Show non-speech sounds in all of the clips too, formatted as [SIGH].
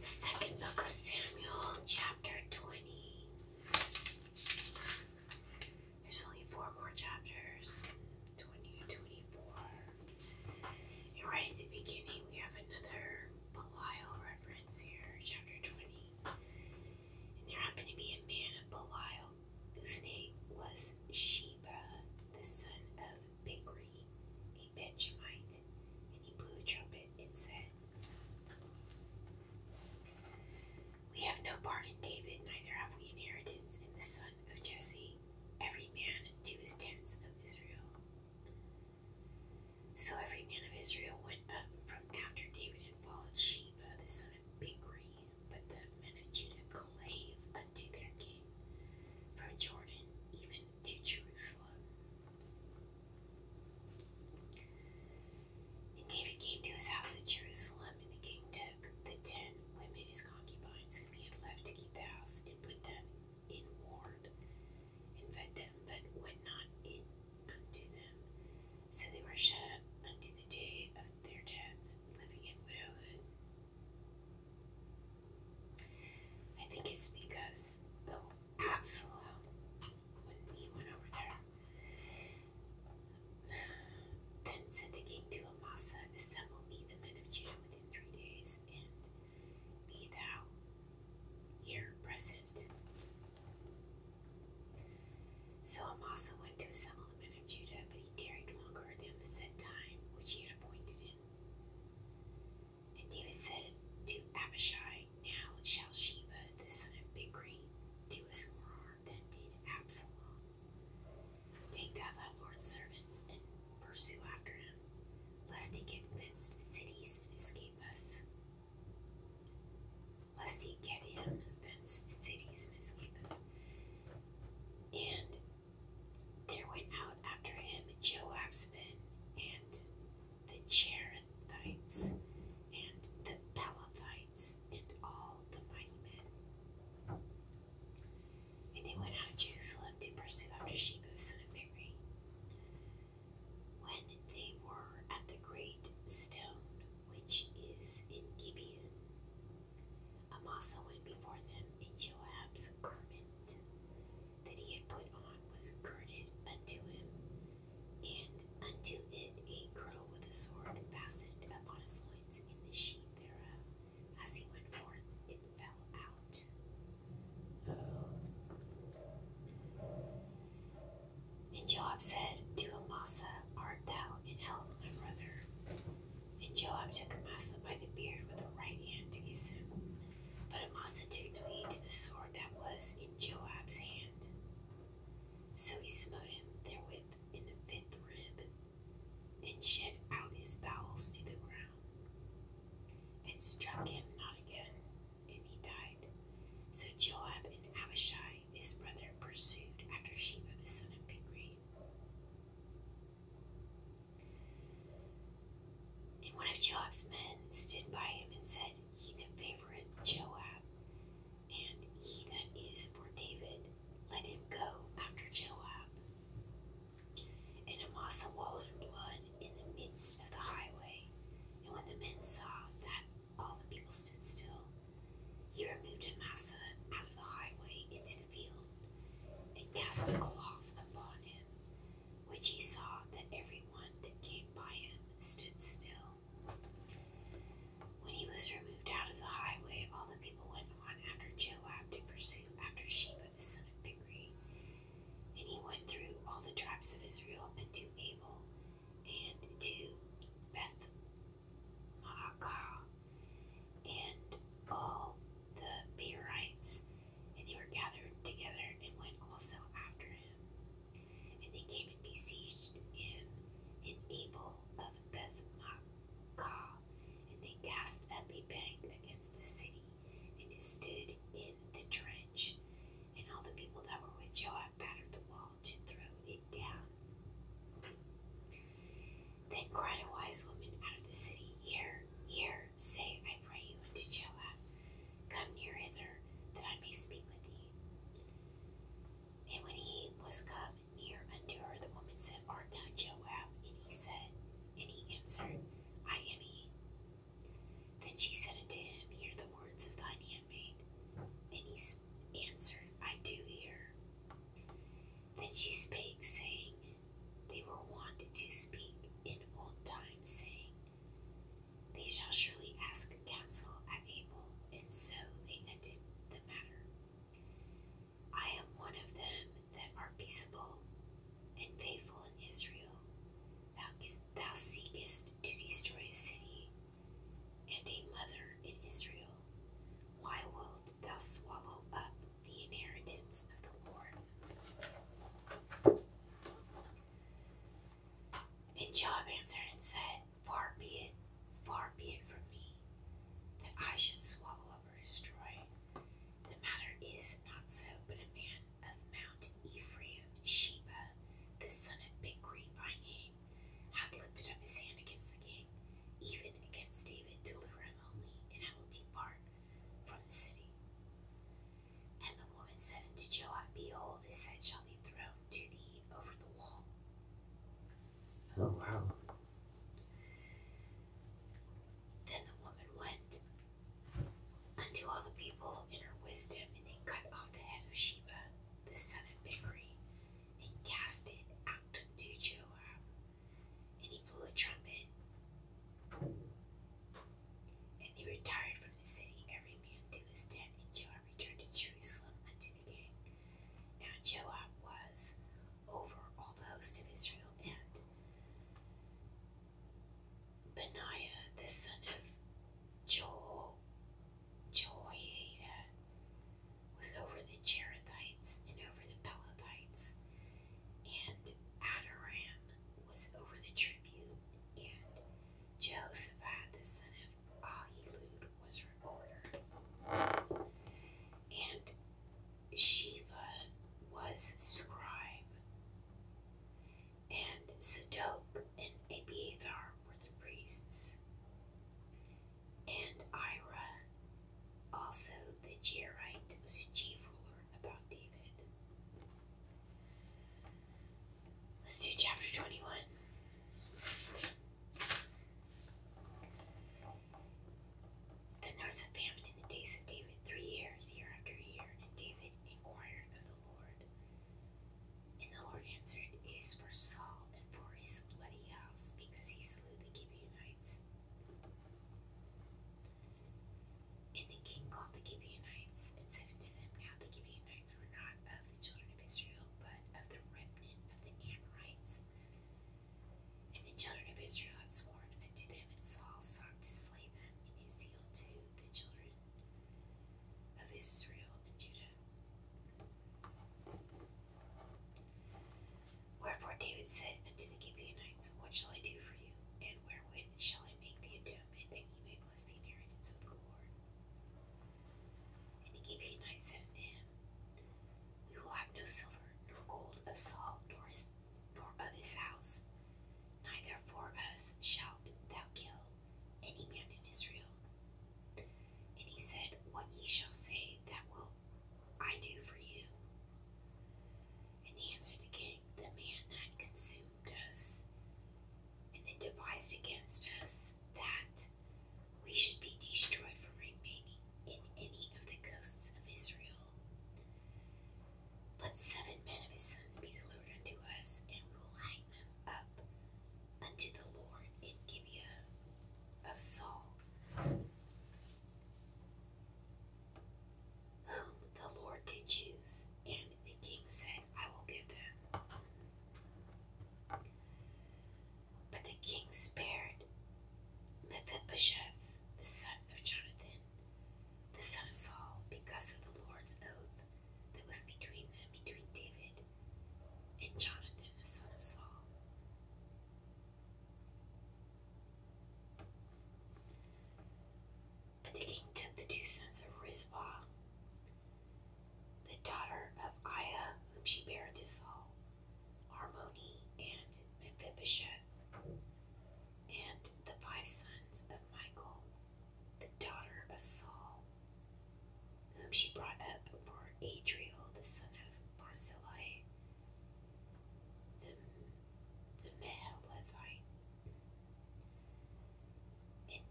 Second book of Samuel, chapter 20. There's only four more chapters 20 24. And right at the beginning, we have another Belial reference here, chapter 20. And there happened to be a man of Belial whose name was Sheba, the son of Bichri, meet Benjamite, and he blew a trumpet and said, We have no part in David, neither have we inheritance in the son of Jesse, every man to his tents of Israel. So every man of Israel went up from after David and followed Sheba, the son of Bichri, but the men of Judah clave unto their king from Jordan, even to Jerusalem. And David came to his house at Jerusalem, and the king took the ten women, his concubines, whom he had left to keep the house, and put them in ward, and fed them, but went not in unto them. So they were shut up unto the day of their death, living in widowhood. I think it's because oh, Absalom, when we went over there, [SIGHS] then said the king to Amasa, Assemble me the men of Judah within three days, and be thou here present. So Amasa went to assemble the men of Judah, but he tarried longer than the set time which he had appointed him. And David said to Abishai, Now shall Sheba, the son of Bichri, do us more harm than did Absalom. Take thou thy Lord's servants and pursue after him, lest he get fenced cities and escape us. Lest he get him fenced cities and escape us. And there went out after him Joab's men, and the Cherethites, and the Pelethites, and all the mighty men. And they went out of Jerusalem to pursue after Sheba the son of Mary. When they were at the great stone which is in Gibeon, Amasa went before them in Joab's garment, that he had put on was girded unto him, and unto it a girdle with a sword fastened upon his loins in the sheath thereof. As he went forth, it fell out. And Joab said to Amasa, Art thou in health, my brother? And Joab took Amasa by the beard with the right hand to kiss him. But Amasa took no heed to the sword that was in Joab's hand. So he smote him therewith in the fifth rib, and shed out his bowels to the ground, and struck him not again, and he died. So Joab and Abishai, his brother, pursued after Sheba the son of Bichri. And one of Joab's men stood by him and said, He that favoreth Joab, and he that is for David, let him go after Joab. And Amasa wallowed in blood in the midst of the highway. And when the men saw that all the people stood still, he removed Amasa out of the highway into the field and cast a cloth upon him which he saw that every one that came by him stood still. When he was removed out of the highway, all the people went on after Joab to pursue after Sheba the son of Bichri. And he went through all the tribes of Israel and to Abel and to Beth Maacah and all the Beerites and they were gathered together and went also after him. And they came and besieged him in Abel of Beth Makkah, and they cast up a bank against the city, and it stood in the trench. And all the people that were with Joab battered the wall to throw it down. Then cried a wise woman out of the city, Here, here Say, I pray you, unto Joab, Come near hither, that I may speak with thee. And when he was come near unto her, the woman said, Art thou Joab? And he said, and he answered, I am he. Then she said unto him, Hear the words of thine handmaid. And he answered, I do hear. Then she spake, saying, they were wont to speak in old times, saying, They shall surely ask counsel at Abel, and so they ended the matter. I am one of them that are peaceable and faithful in Israel. Thou, thou seekest to destroy a city and a mother in Israel. Why wilt thou swallow up the inheritance of the Lord. And Job answered and said, Far be it, far be it from me, that I should swallow up or destroy. The matter is not so, but a man of Mount Ephraim, Sheba, the son of Bichri by name, hath lifted up his hand against the king, even against David, deliver him only, and I will depart from the city. And the woman said unto Joab, Behold, his head shall be thrown to thee over the wall. Oh, wow. Then the woman went unto all the people in her wisdom, and they cut off the head of Sheba, the son of Bichri, and cast it out to Joab, and he blew a trumpet. And they retired from the city, every man to his tent, and Joab returned to Jerusalem unto the king. Now Joab was over all the host of Israel, and Benaiah the son of Joel, Jehoiada was over the Cherethites and over the Pelethites, and Adoram was over the tribute, and Jehoshaphat the son of Ahilud was recorder, and Shiva was scribe, and Zadok and Abiathar were the priests, and Ira, also the Jairite, was a chief ruler about David. Let's do chapter 21. Then there was a famine in the days of David three years, year after year, and David inquired of the Lord. And the Lord answered, It is for Saul and for his bloody house, because he slew the Gibeonites. And the king called the Gibeonites and said unto them, Now the Gibeonites were not of the children of Israel, but of the remnant of the Amorites. And the children of Israel had sworn unto them, and Saul sought to slay them in his zeal to the children of Israel and Judah. Wherefore David said unto the Gibeonites, What shall I do for you? And wherewith shall I make the atonement that ye may bless the inheritance of the Lord? And the Gibeonites said unto him, We will have no silver, nor gold of Saul, nor, his, nor of his house. Neither for us shalt thou kill any man in Israel. And he said, What ye shall say, that will I do for you. And he answered the king, overcame the man that consumed us and then devised against us that we should be destroyed from remaining in any of the coasts of Israel. Let seven men of his sons be delivered unto us, and we will hang them up unto the Lord in Gibeah of Saul, whom the Lord did choose, and the king said, I will give them. But the king spared Mephibosheth, the son of Jonathan, the son of Saul, because of the Lord's oath that was between them, between David and Jonathan, the son of Saul. But the king took the two sons of Rizpah, the daughter of Aiah, whom she bare to Saul, Harmony, and Mephibosheth, and the five sons of Michael, the daughter of Saul, whom she brought up for Adriel, the son of Barzillai, the the Mehalethite. And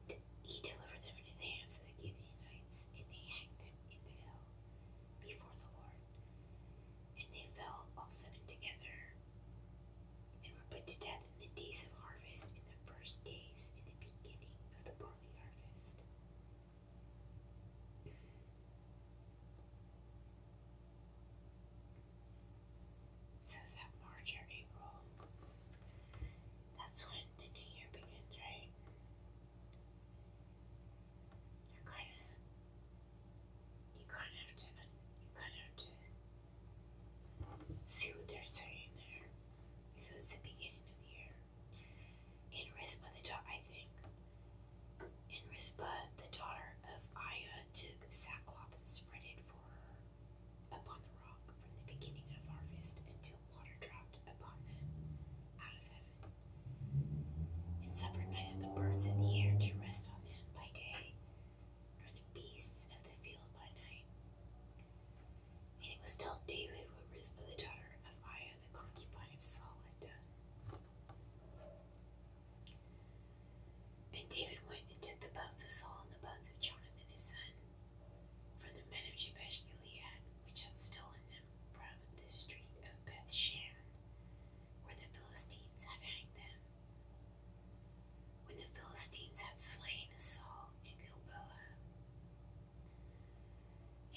he delivered them into the hands of the Gibeonites, and they hanged them in the hill before the Lord. And they fell all seven together, and were put to death in the days of harvest, in the first days, in the beginning of the barley harvest. So is that March or April? That's when the new year begins, right? You're kind of, you kind of have to, you kind of have to see what they're saying there. So it's the beginning of the year. In Risk by the top, I think and Rizpah, the daughter of Aiah took sackcloth and spread it for her upon the rock from the beginning of harvest until water dropped upon them out of heaven. It suffered neither the birds in the air to rest on them by day, nor the beasts of the field by night. And it was told David what Rizpah, the daughter of Aiah, the concubine of Saul, and David went and took the bones of Saul and the bones of Jonathan his son, from the men of Jabesh Gilead, which had stolen them from the street of Beth Shan, where the Philistines had hanged them. When the Philistines had slain Saul in Gilboa,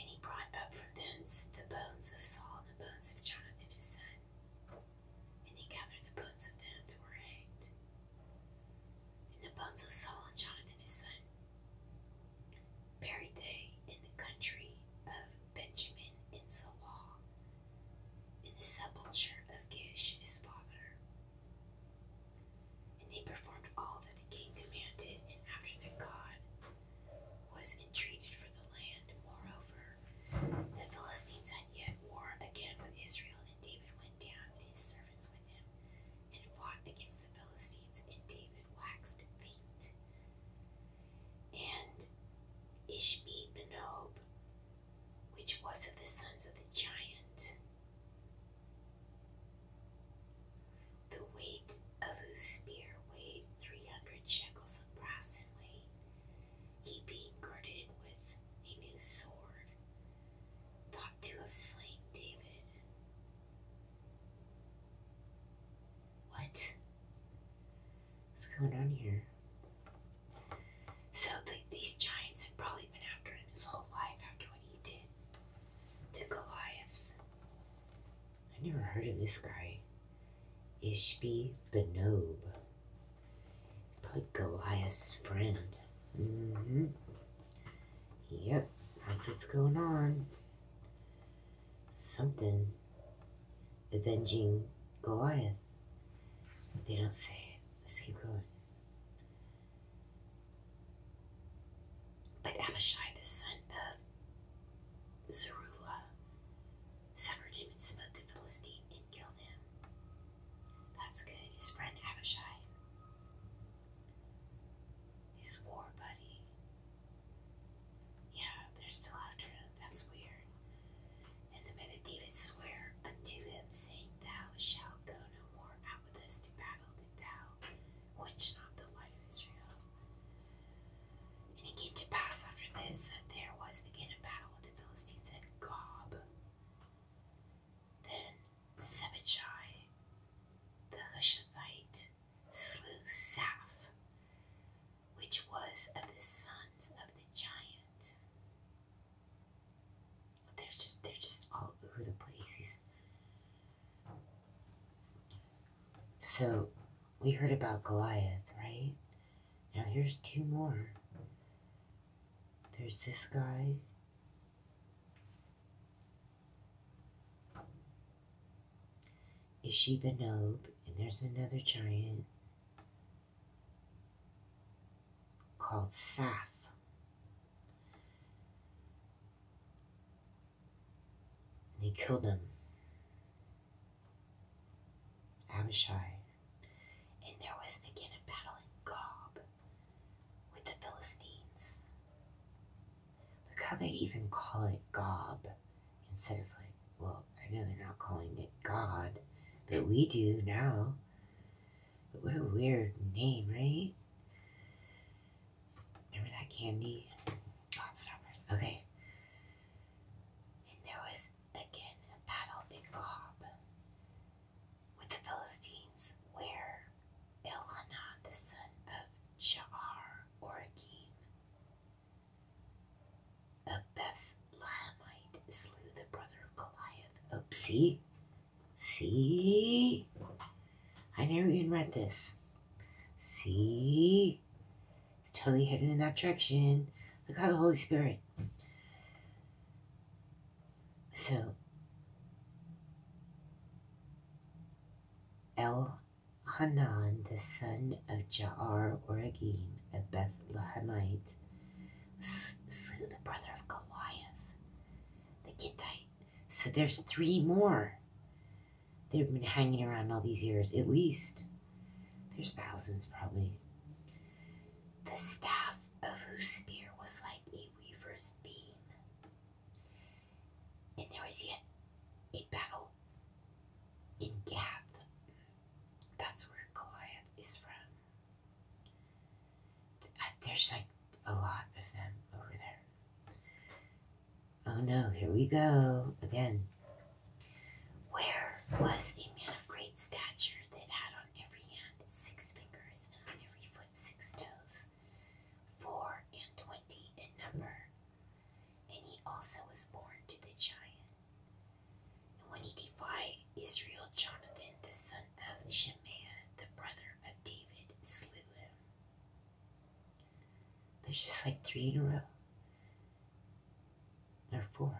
and he brought up from thence the bones of Saul and the bones of Jonathan his son, and he gathered the bones of them that were hanged, and the bones of Saul and Jonathan his son, buried they in the country of Benjamin in Salah, in the sepulchre of Gish his father. And they performed all that the king commanded, and after that God was entreated for the land. Moreover, the Philistines had yet war again with Israel, and David went down and his servants with him, and fought against the Philistines, and David waxed faint. And Ishbi Benob, which was of the sons of the giant, the weight of whose spear weighed three hundred shekels of brass in weight, he being girded with a new sword, thought to have slain David. What? What's going on here? So these giants have probably been after him his whole life after what he did to Goliath. I never heard of this guy. Ishbi Benob, but Goliath's friend. Mm-hmm. Yep, that's what's going on. Something avenging Goliath. But they don't say it. Let's keep going. But Abishai, the son of Zeruiah, suffered him and smote the Philistine and killed him. That's good, his friend Abishai. His war buddy. Yeah, they're still after him. That's weird. And the men of David swear unto him, saying, Thou shalt go no more out with us to battle, that thou quench not the light of Israel. And it came to pass after this that there was again a battle with the Philistines at Gob. Then Sebachai the Hushathite slew Saf, which was of the sons of the giant. they're just they're just all over the place. So we heard about Goliath, right? Now here's two more. There's this guy. Is she and there's another giant called Saf. And they killed him. Abishai. And there was again a battle in Gob with the Philistines. Look how they even call it Gob instead of like, well, I know they're not calling it God, but we do now. But what a weird name, right? Remember that candy? Gobstoppers. Okay. And there was again a battle in Cobb with the Philistines, where Elhanan, the son of Sha'ar, Oragim, a Bethlehemite, slew the brother of Goliath. Oopsie, oh, See? I never even read this. See? It's totally hidden in that direction. Look how the Holy Spirit. So, El Hanan, the son of Jahar or Oragim, a Bethlehemite, slew the brother of Goliath, the Gittite. So there's three more. They've been hanging around all these years, at least. There's thousands, probably. The staff of whose spear was like a weaver's beam. And there was yet a battle in Gath. That's where Goliath is from. Uh, there's like a lot of them over there. Oh no, here we go again. Where was a man of great stature that had on every hand six fingers and on every foot six toes, four and twenty in number? And he also was born to the giant. And when he defied Israel, Jonathan, the son of Shemaiah, the brother of David, slew him. There's just like three in a row. There are four.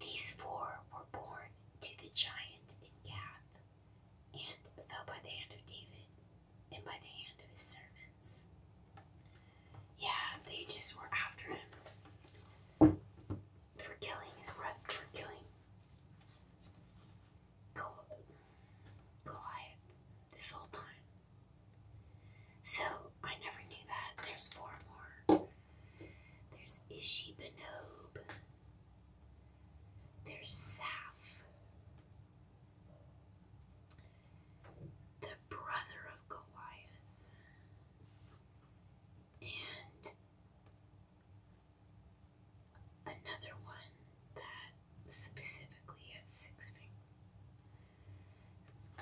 These four were born to the giant in Gath, and fell by the hand of David, and by the hand of his servants. Yeah, they just were after him for killing his brother, for killing Goliath this whole time. So I never knew that. There's four more. There's Ishi Benob. There's Saf. The brother of Goliath. And another one that specifically had six fingers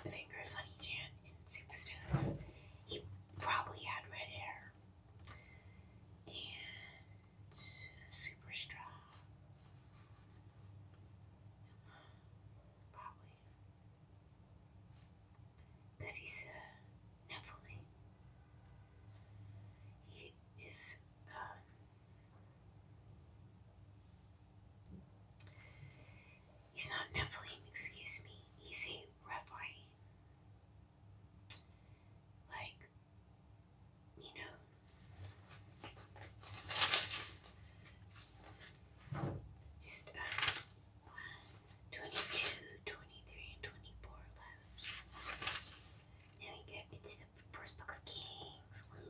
fingers on each hand and six toes. He probably had red hair and super strong. Probably. Because he's a Nephilim. He is, um, He's not Nephilim, excuse me. He's a Rephaim. Like, you know, just um, 22, and 24 left. Now we get into the first book of Kings.